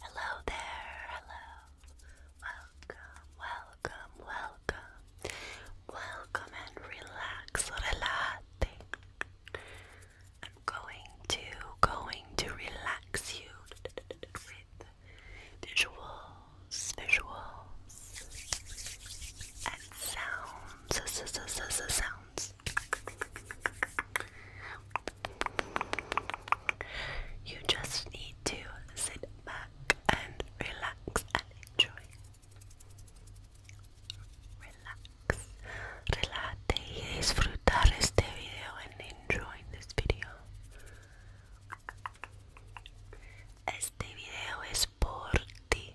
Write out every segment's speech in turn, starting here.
Hello there, hello. Welcome, welcome, welcome. Welcome and relax, relate. I'm going to, going to relax you with visuals, visuals, and sounds, sounds. You just need to sit back and relax enjoy. Relax, relate y disfrutar este video and enjoy this video. Este video es por ti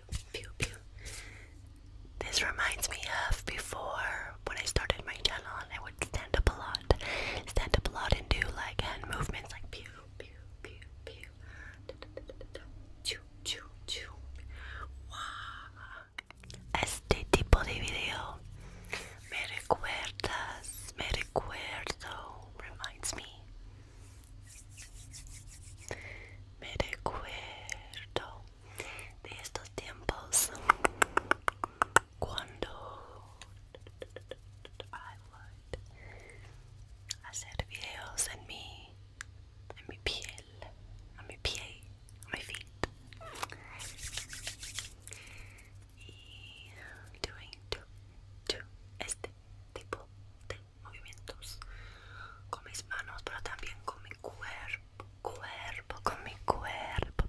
pew, pew, pew. This reminds me of before when I started my channel and I would stand up a lot. Stand up a lot and do like hand movements like pew, pew, pew, pew. Da, da, da, da, da. Choo, choo, choo. Wow. Este tipo de video me recuerdas, me recuerdo, reminds me Me recuerdo de estos tiempos cuando I would hacer videos en mi, en mi piel, a mi pie, a mi feet. Y doing este tipo de movimientos con mis manos, pero también con mi cuerpo, cuerpo, con mi cuerpo.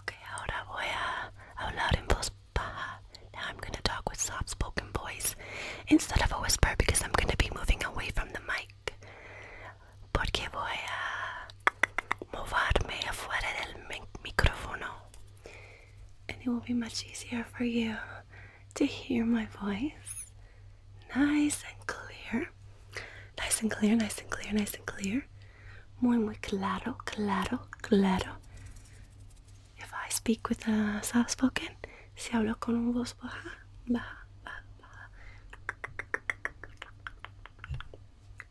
Ok, ahora voy a hablar en voz baja. Now I'm going talk with soft spoken voice instead of a whisper because I'm going be moving away from the mic. Porque voy a moverme afuera del micrófono. and it will be much easier for you to hear my voice nice and clear. Nice and clear, nice and clear, nice and clear. Muy, muy claro, claro, claro. If I speak with a soft spoken, si hablo con un voz baja, baja, baja.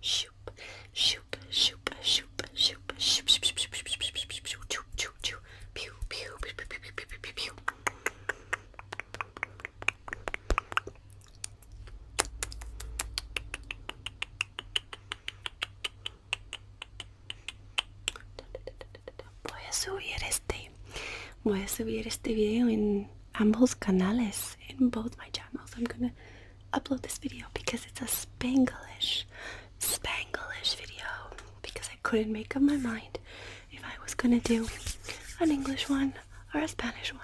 Shoop, shoop shoop, shoop, shoop, shoop, shoop, shoop, shoop, shoop, shoop, shoop, shoop, shoop, shoop, shoop, shoop, pew, pew, pew, pew, pew, pew, pew, pew, pew. Voy a subir este, voy a subir este video en ambos canales, in both my channels. I'm gonna upload this video because it's a Spanglish, Spanglish video because I couldn't make up my mind if I was gonna do an English one or a Spanish one.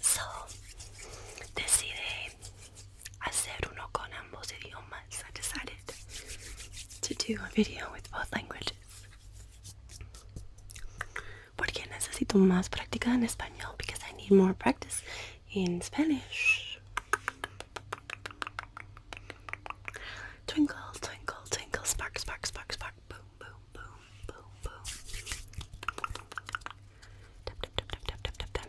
So, decidí hacer uno con ambos idiomas. I decided to do a video with both languages. Porque necesito más práctica en español because I need more practice in Spanish. Twinkle, twinkle, twinkle, spark, spark, spark, spark, boom, boom, boom, boom, boom. Tap, tap, tap, tap, tap, tap, tap.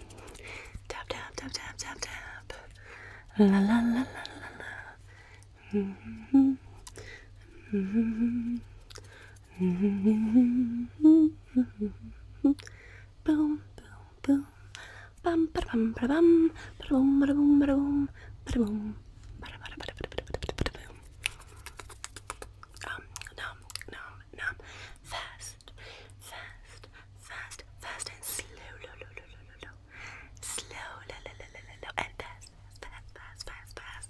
Tap, tap, tap, tap, tap, tap. La, la, la, la, la, la. Mm-hmm. Mm-hmm boom, boom, boom. Bum, ba bum, ba bum, ba boom, ba boom, ba boom, ba boom. Um, nom, nom, nom. Fast, fast, fast, fast, and slow, low, low, low, low, low, low. Slow, low, low, low, low, low, and fast, fast, fast, fast, fast.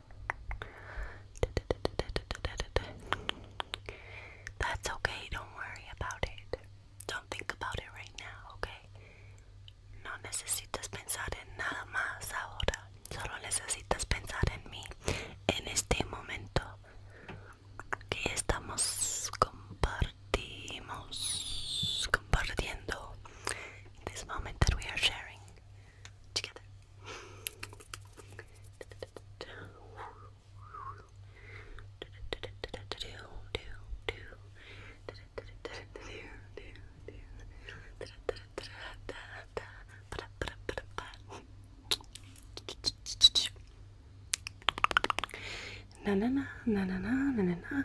That's okay, don't worry about it. Don't think about it right now, okay? No necesitas pensar en nada más ahora. Solo necesitas pensar en mí, en este momento que estamos compartimos, compartiendo. This moment that we are sharing together. Na na na na na na na na na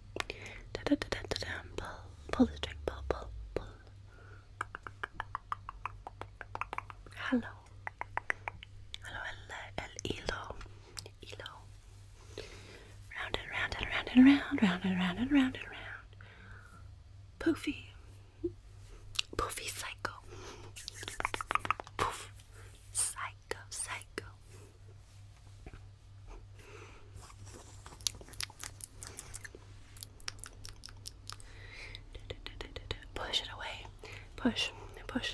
Da da da da da da. Pull, pull the string. Pull, pull, pull. Hello. Hello, el, el hilo. Hilo. Round and round and round and round, round and round and round and round. Poofy. Poofy psycho. Poof. Psycho, psycho. Push it away. Push and push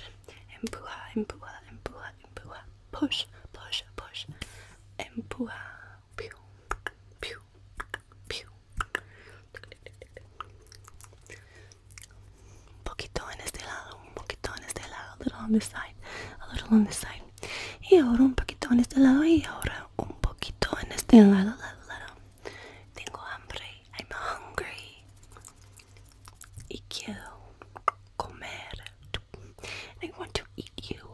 and puha and puha and puha and puha. Push, push, push and puha. Pew, pew, pew. Un poquito en este lado, un poquito en este lado, a little on this side, a little on this side. Y ahora un poquito en este lado y ahora un poquito en este lado, Tengo hambre. I'm hungry. Y quiero comer. I want to eat you.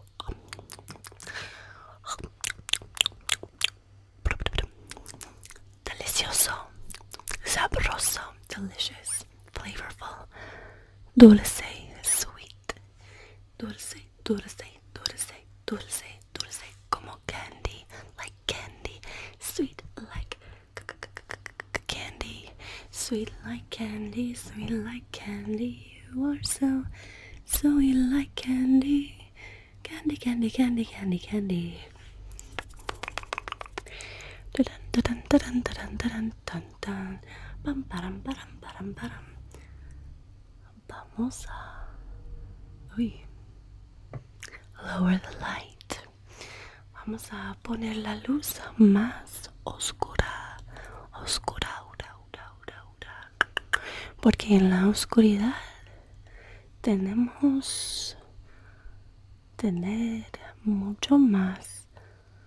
Delicioso. Sabroso. Delicious. Flavorful. Dulce. Sweet. Dulce, dulce, dulce, dulce, dulce. Como candy, like candy. Sweet like candy. Sweet like candy, sweet like candy. You are so sweet like candy. Candy, candy, candy, candy, candy. Dun dun dun dun dun dun dun tan pam vamos a uy, lower the light vamos a poner la luz más oscura oscura ura, ura, porque en la oscuridad tenemos tener mucho más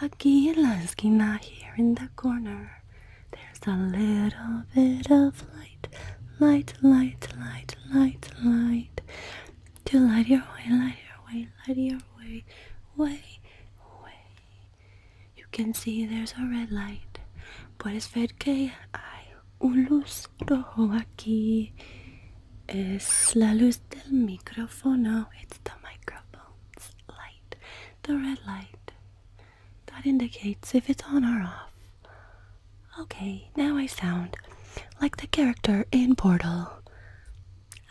Aquila esquina here in the corner. There's a little bit of light, light, light, light, light, light. To light your way, light your way, light your way, way, way. You can see there's a red light. Puedes ver que hay una luz rojo aquí. Es la luz del micrófono. It's the microphone light, the red light. That indicates if it's on or off. Okay, now I sound like the character in Portal.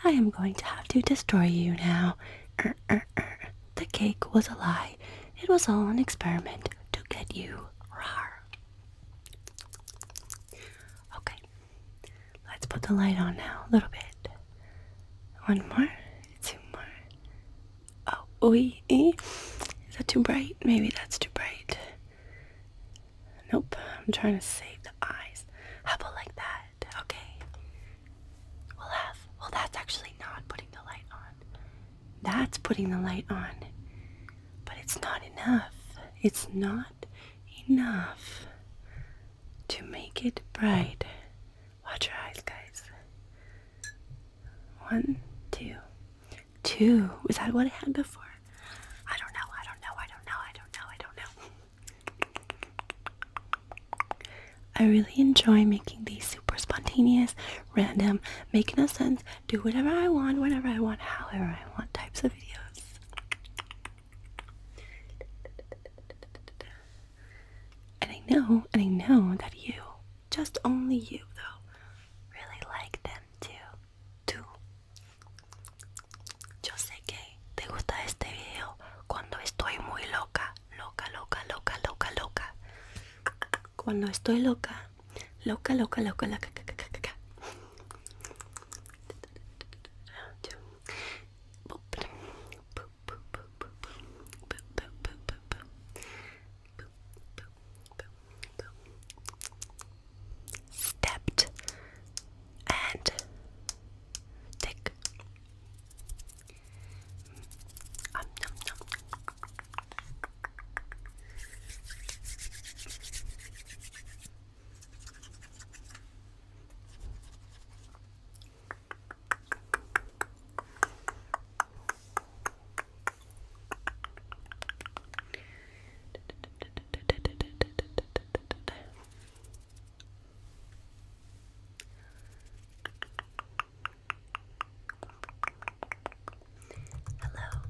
I am going to have to destroy you now. Er, er, er. The cake was a lie. It was all an experiment to get you. Rawr. Okay, Let's put the light on now, a little bit. One more, two more. Oh, ooh, is that too bright? Maybe that's too bright. Nope, I'm trying to save the eyes. How about like that? Okay. We'll well, that's actually not putting the light on. That's putting the light on. But it's not enough. It's not enough to make it bright. Watch your eyes, guys. One, two, two. Was that what I had before? I don't know. I don't know. I don't know. I don't know. I don't know. I really enjoy making these super spontaneous, random, make no sense, do whatever I want, whenever I want, however I want types of videos. And I know, and I know that you, just only you though, really like them too. Tú. Yo sé que te gusta este video cuando estoy muy loca, loca, loca, loca, loca, loca. Cuando estoy loca, loca, loca, loca, loca, loca, loca. Stepped and tick. Um, nom, nom. Hello,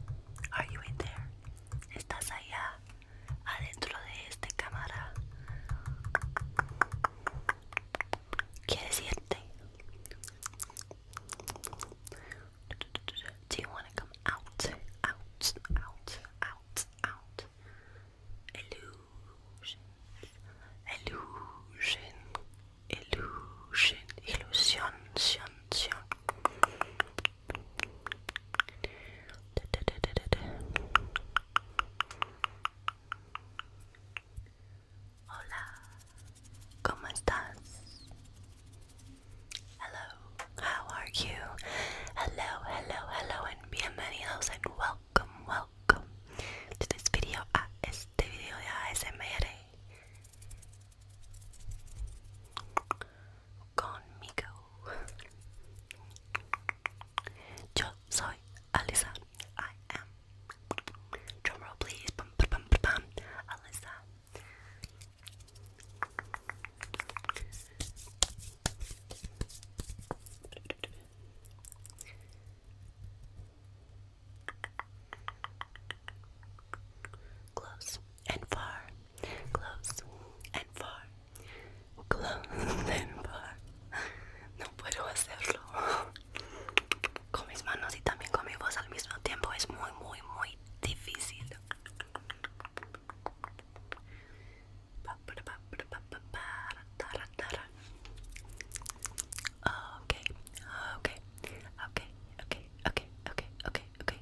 are you in there? ¿Estás allá? adentro de esta cámara quiere decirte do you wanna come out out out out out illusion illusion illusion illusion sion, sion. Hola, ¿cómo estás? Hello, how are you? Hello, hello, hello, and bienvenidos and welcome, welcome to this video, a este video de ASMR. Conmigo. Yo I am. Drumroll, please. Close and far. close and far, close and far. No puedo hacerlo con mis manos y también con mi voz al mismo tiempo. Es muy, muy, muy difícil. Ok, ok, okay, okay, okay, okay, okay, okay, okay,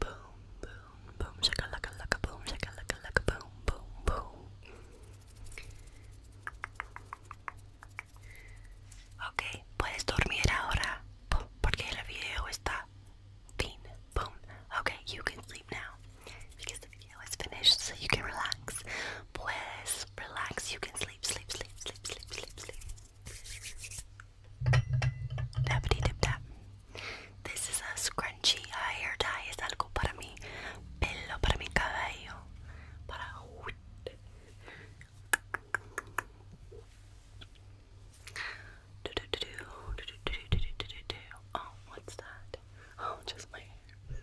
Boom, boom, boom, shaka laka laka boom, shaka laka laka boom, boom, boom. Ok, puedes dormir ahora porque el video está fin. Boom. Okay, you can sleep now because the video is finished, so you can relax. Puedes relax, you can sleep, sleep, sleep, sleep, sleep, sleep, sleep. Dappity dip dap. This is a scrunchy hair tie. Es algo para mi pelo, para mi cabello. Oh, what's that? Oh, just my hair.